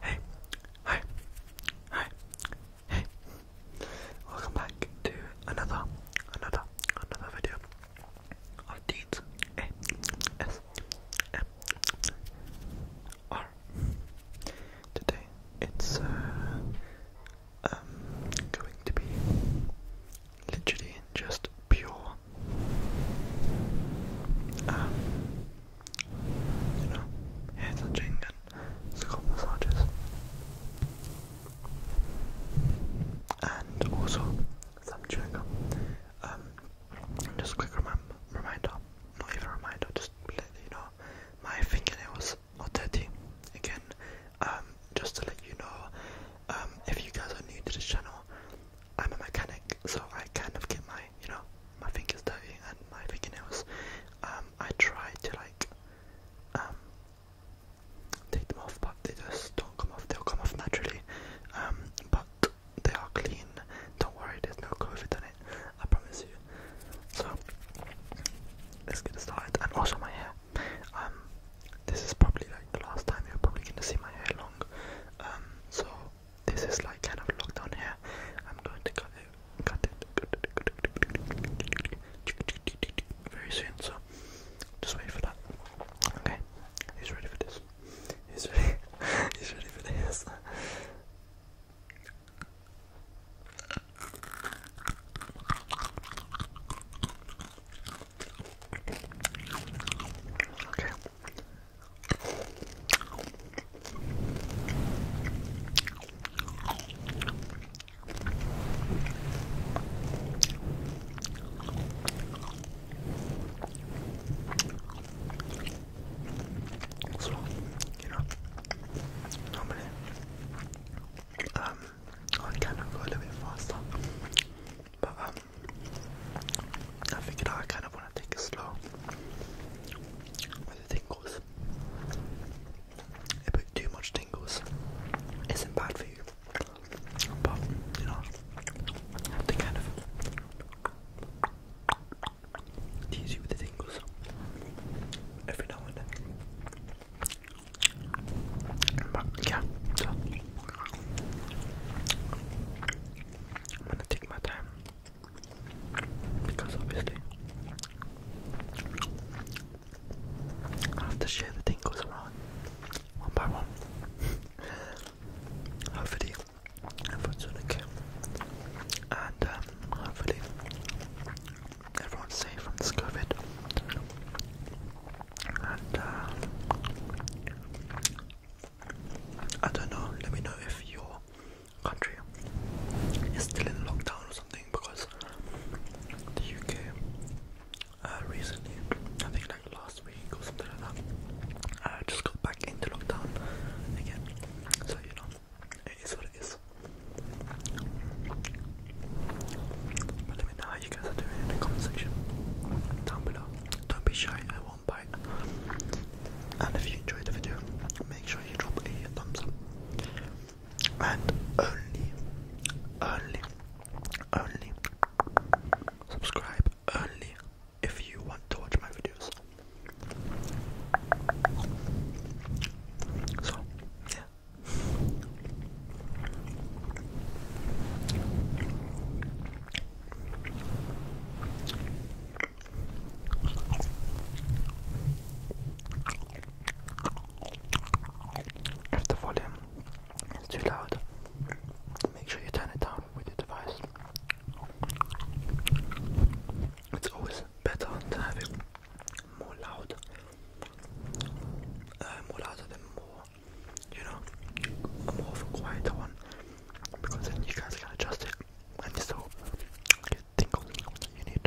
Hey, hi, hi, hey! Welcome back to another, another, another video of Deeds Today it's uh, um going to be literally just pure. Um, you know, hair touching and scalp massages. And also some chewing um, just quick reminder, not even a reminder, just let you know, my fingernails are dirty. Again, um, just to let you know, if you guys are new to this channel, I'm a mechanic, so I kind of get my, you know, my fingers dirty and my fingernails. Um, I try to like, um, take them off, but they just don't come off. They'll come off naturally. Um, but they are clean. Don't worry, there's no COVID in it. I promise you. So let's get started. And also my hair. Um, this is probably like the last time you're probably gonna see my hair long. Um, so this is like kind of lockdown hair. I'm going to cut it, cut it very soon. So just wait for that. Okay, he's ready for this. He's ready. he's ready for this. Okay. So, you know, normally, um, I kind go a little bit faster but um, I figured I kind of want to take it slow. the tingles, a bit too much tingles isn't bad for you, but you know, have to kind of tease you with the tingles every now and then yeah, so I'm gonna take my time because obviously I have to share the tingles around one by one. hopefully, everyone's okay, and um, hopefully everyone's safe from this COVID. And uh, I don't know. Let me know if your country is still in lockdown or something because the UK uh, recently, I think like last week or something like that, uh, just got back into lockdown again. So you know, it is what it is. But let me know how you guys are doing in the comment section down below. Don't be shy, I won't bite. And if you enjoyed the video, make sure you drop a thumbs up. And only, only, only subscribe only if you want to watch my videos. So, yeah, if the volume is too loud, make sure you turn it down with your device. It's always better to have it more loud, uh, more louder than more, you know, more of quieter one, because then you guys can adjust it, and you still get tingles you need.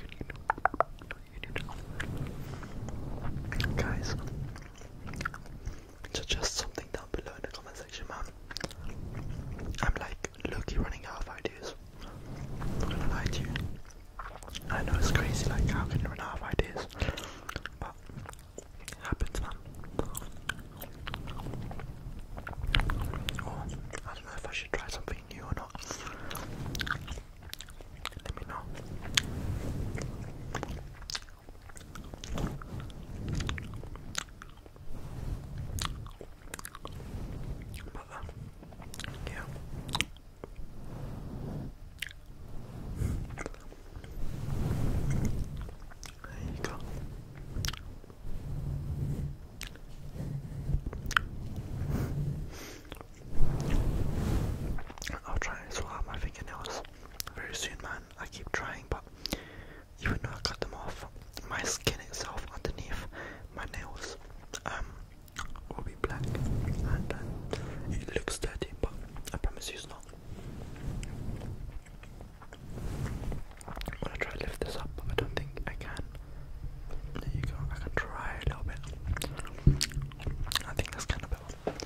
You need, you need. Guys, suggest something down below in the comment man. I'm like Look, Loki running out of ideas. I'm to you. I know it's crazy, like how can you run out of ideas? But happens, man. I don't know if I should try something new or not. Let me know yeah. There you go. I'll try and sort my fingernails very soon, man. I keep trying, but even though I cut them off, my skin itself underneath my nails um will be black uh, it looks dirty but I promise you it's not. I'm gonna try to lift this up I don't think I can. There you go, I can try a little bit. I think that's kind of better.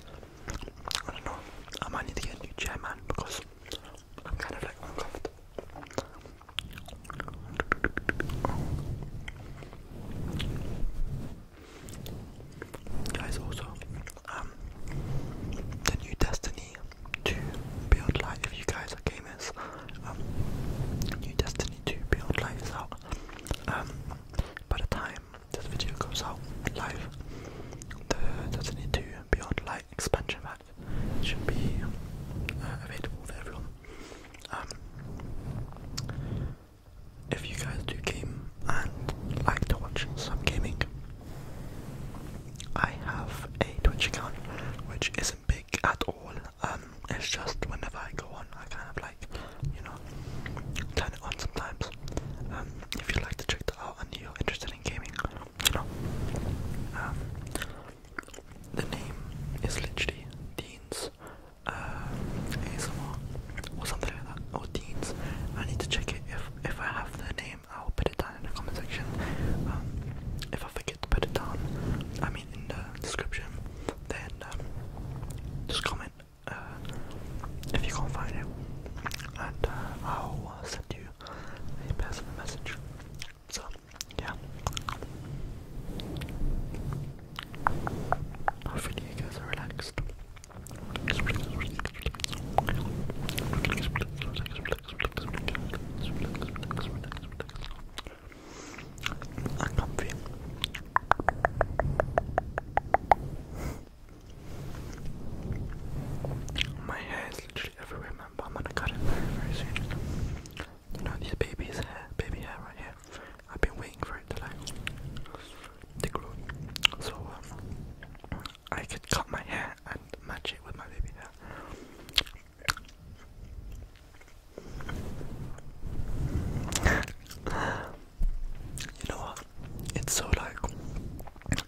I don't know, I might need to get new chair man because I'm kind of like Guys, also, um, the new Destiny to Build Life, if you guys are gamers, um, new Destiny to Build Life is out. Um, by the time this video goes out live, the Destiny to Beyond Life expansion pack should be um, uh, available for everyone. Um, if you guys do game and like to watch some gaming, I have a Twitch account which isn't big at all. Um, it's just whenever I go on, I kind of like, you know, turn it on sometimes. if you'd like to check that out and you're interested in gaming, you know, the name is literally Dean's uh, ASMR or something like that, or Dean's. I need to check it. If if I have the name, I'll put it down in the comment section. Um, if I forget to put it down, I mean in the description, then um, just comment uh, if you can't find it, and uh, I'll send you a personal message. So, yeah. Hopefully, you guys are relaxed. Relax, relax, relax, My hair is literally everywhere. I'm gonna cut it very, very soon. You know, these babies' hair, baby hair right here. I've been waiting for it to like to grow. So um, I could cut my hair and match it with my baby hair. you know what? It's so like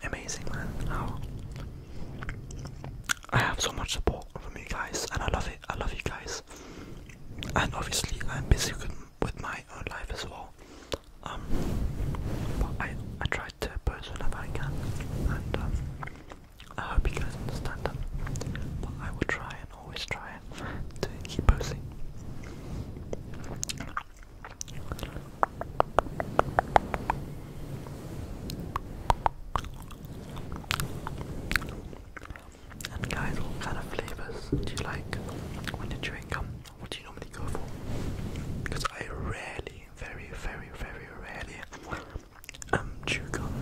amazing, man. I have so much support from you guys, and I love it. I love you guys. And obviously, I'm busy with, my own life as well. Um, but I I try to post whenever I can, and um, I hope you guys understand that. But I will try and always try to keep posting. And guys, what kind of flavours do you like when you drink? chewing What do you normally go for? Because I rarely, very, very, very rarely um, chew gum.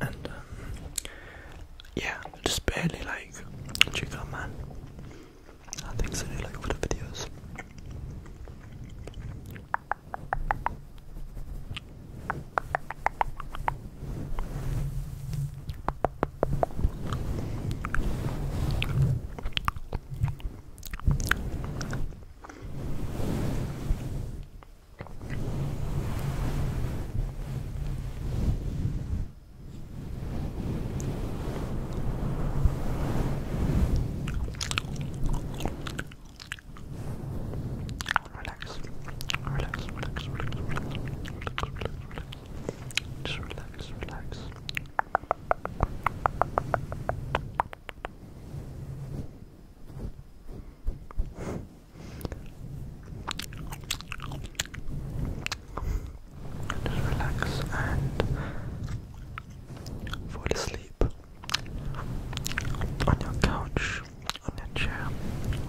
And um, yeah, just barely like chew gum, man uh, things that I like for the videos. Relax, relax, relax, relax, relax, relax, relax, relax. Just relax, relax just relax and fall asleep on your couch, on your chair,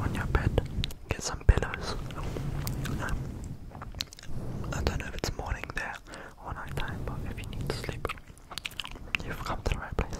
on your bed. Get some pillows. Um, I don't know if it's morning there or night but if you need to sleep, you've come to the right place.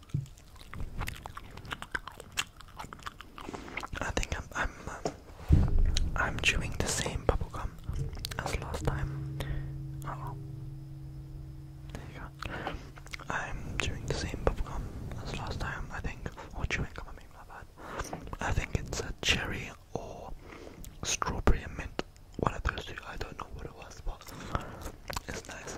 I think I'm I'm uh, I'm chewing the same bubblegum as last time. Oh, there you go. I'm chewing the same bubblegum as last time, I think. Or chewing gum, I bad. I think it's a cherry or strawberry mint. One of those two, I don't know what it was, but it's nice.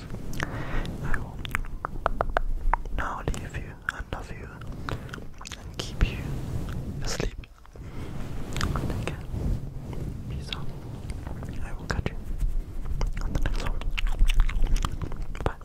I will now leave you and love you and keep you asleep. Take Peace out. I will catch you on the next one. Bye.